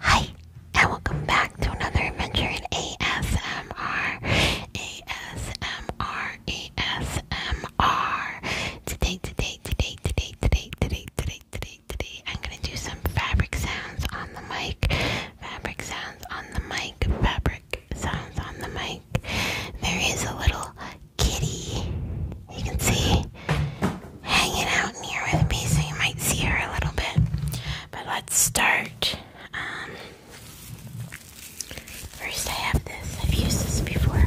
Hi, and welcome back to another adventure in ASMR. ASMR, ASMR. Today, today, today, today, today, today, today, today, today, I'm gonna do some fabric sounds on the mic. Fabric sounds on the mic. Fabric sounds on the mic. There is a little kitty. You can see hanging out in here with me so you might see her a little bit. But let's start. Um, first, I have this. I've used this before.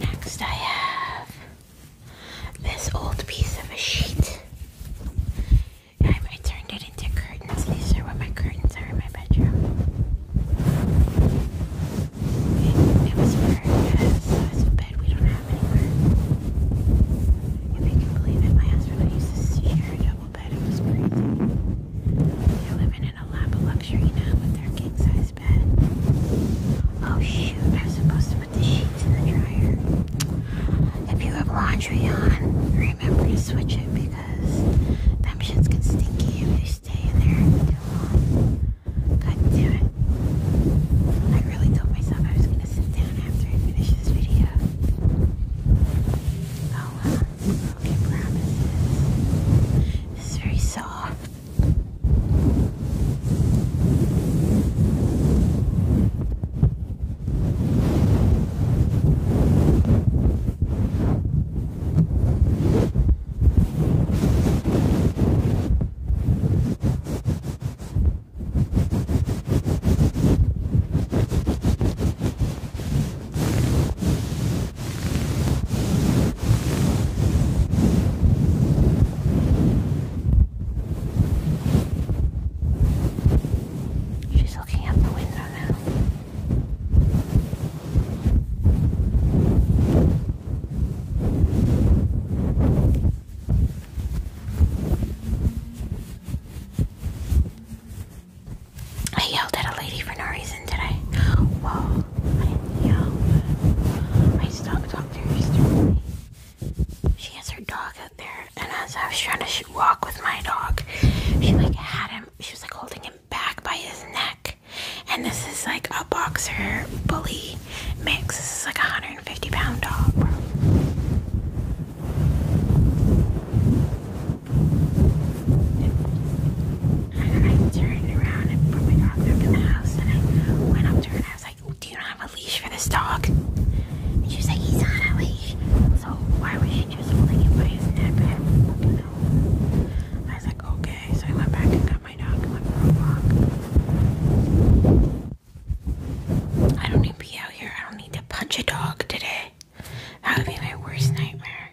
Next, I have this old piece of a sheet. I, turned it into curtains. These are what my curtains are in my bedroom. It, was uh, burned we don't have anywhere. If you can believe it, my husband I used to share a double bed. It are living in a lap of luxury now with their king size bed. Oh shoot, I was supposed to put the sheets in the dryer. If you have laundry on, remember to switch it because them sheets get stinky if they stay in there too long. God damn it. I really told myself I was gonna sit down after I finish this video. Oh wow, broken promises. This is very soft. She's looking out the window now. I yelled at a lady for no reason today. Whoa, I did I stalked talked to her yesterday. She has her dog out there, and as I was trying to walk with my dog, she like had him. She was like holding him back by his neck, and this is like a boxer bully mix. This is like a hunter 50 pound dog, bro. I turned around and put my dog back in the house, and I went up to her I was like, "Do you not have a leash for this dog?" And she was like, "He's on a leash." So why was she just holding him by his neck? I was like, "Okay." So I went back and got I don't need to be out here. I don't need to punch a dog today. That would be my worst nightmare.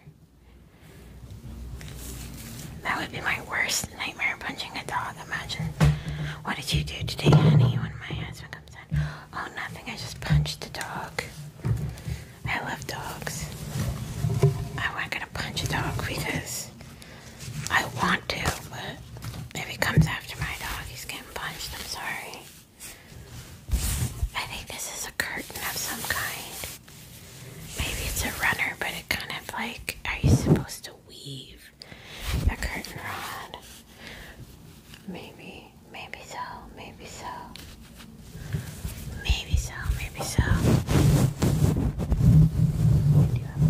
That would be my worst nightmare, punching a dog. Imagine. What did you do today, honey, when my husband comes in? Oh, nothing. I just punched a dog. I love dogs. I'm not gonna punch a dog because I want to, but maybe he comes after my dog, he's getting punched. I'm sorry. I think this is a curtain of some kind. Maybe it's a runner, but it kind of like, are you supposed to weave the curtain rod? Maybe, maybe so, maybe so. Maybe so, maybe so you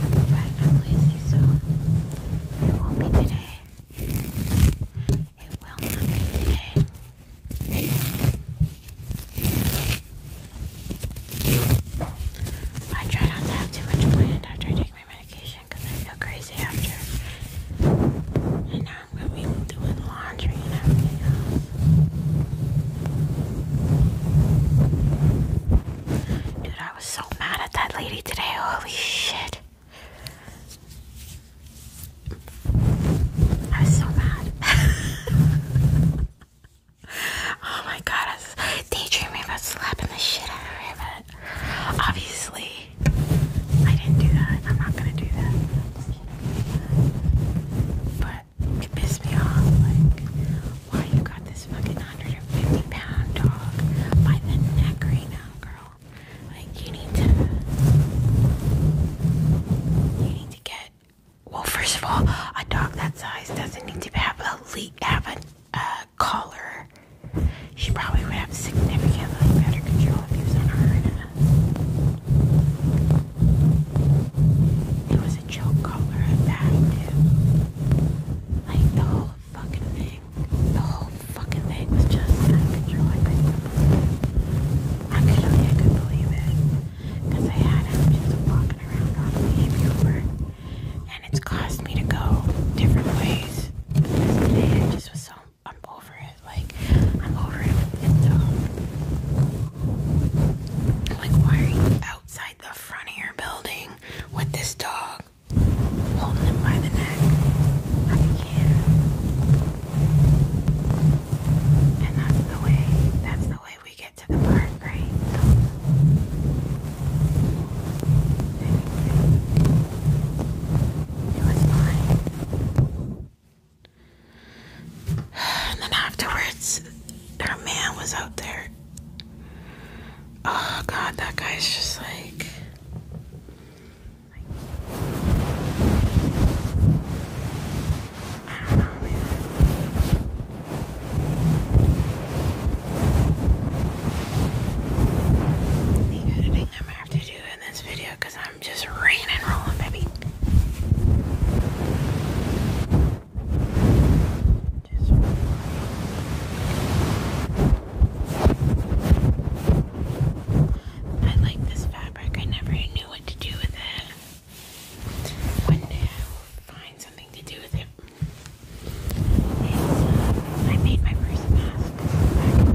have a lazy, so it won't be today. It will not be today. I try not to have too much wind after I take my medication I feel crazy after. And now Dude, I was so mad at that lady today. Holy shit. I was so mad. oh my god, I was daydreaming about slapping the shit out of her, but obviously I didn't do that. I'm not gonna do that. But it pissed me off, like, why you got this fucking 150 pound dog by the neck right now, girl? Like, you need to, you need to get, well, first of all, a dog that size doesn't need to have a leak, have a collar. She probably would have significantly better control if he was on her. It was a joke collar at that, too. Like, the whole fucking thing. The whole fucking thing was just out of I couldn't believe believe it. I had him just walking around on the behavior. And it's caused me to go different ways. it just was so I'm over it. Like I'm over it. like why are you outside the front of your building with this dog holding him by the neck? I can't. And that's the way. That's the way we get to the park, right? it was fine. And then afterwards, her man was out there. Oh god, that guy's just like. I don't know, The editing I'm have to do in this video because I'm just raining and rolling, baby. I like this fabric. I never knew what to do with it. One day I will find something to do with it. Uh, I made my first mask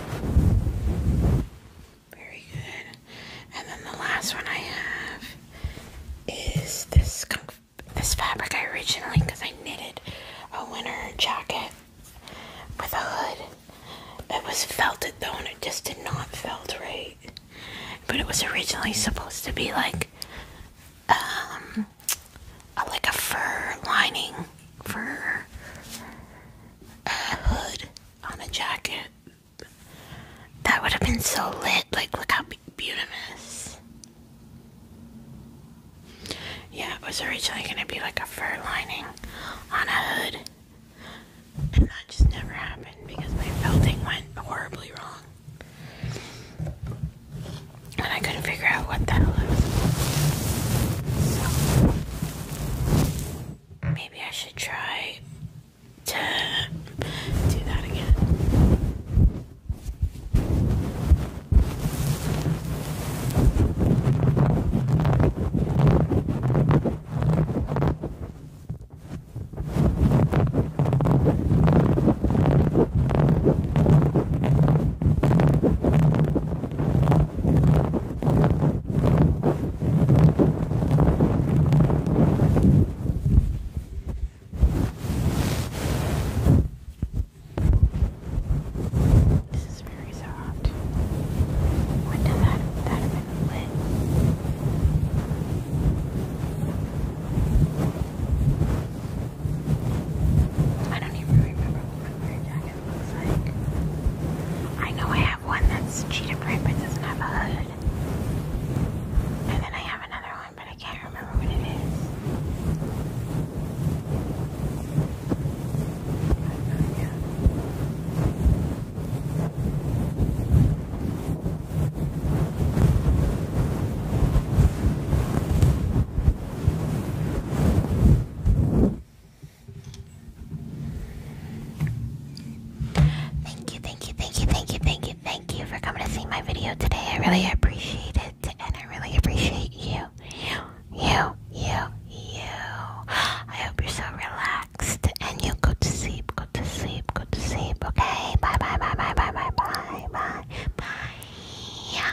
Very good. And then the last one I have is this this fabric I originally because I knitted a winter jacket with a hood. It was felted though, and it just did not felt right. But it was originally supposed to be like um, like a fur lining for a hood on a jacket. That would have been so lit. Like, look how beautiful this. Yeah, it was originally going to be like a fur lining on a hood. And that just never happened because my felting went horribly wrong. And I couldn't figure out what the hell it was. So, Maybe I should try to do that again. This is very soft. Wouldn't that that have been lit? I don't even remember what my prayer jacket looks like. I know I have one that's cheetah print but it doesn't have a hood. And then I have another one, but I can't remember what it is. Thank you, thank you, thank you, thank you, thank you, thank you for coming to see my video today. I really appreciate it, and I really appreciate you. You, you, you, you. I hope you're so relaxed, and you go to sleep, go to sleep, go to sleep, okay? Bye, bye, bye, bye, bye, bye, bye, bye, bye. Yeah.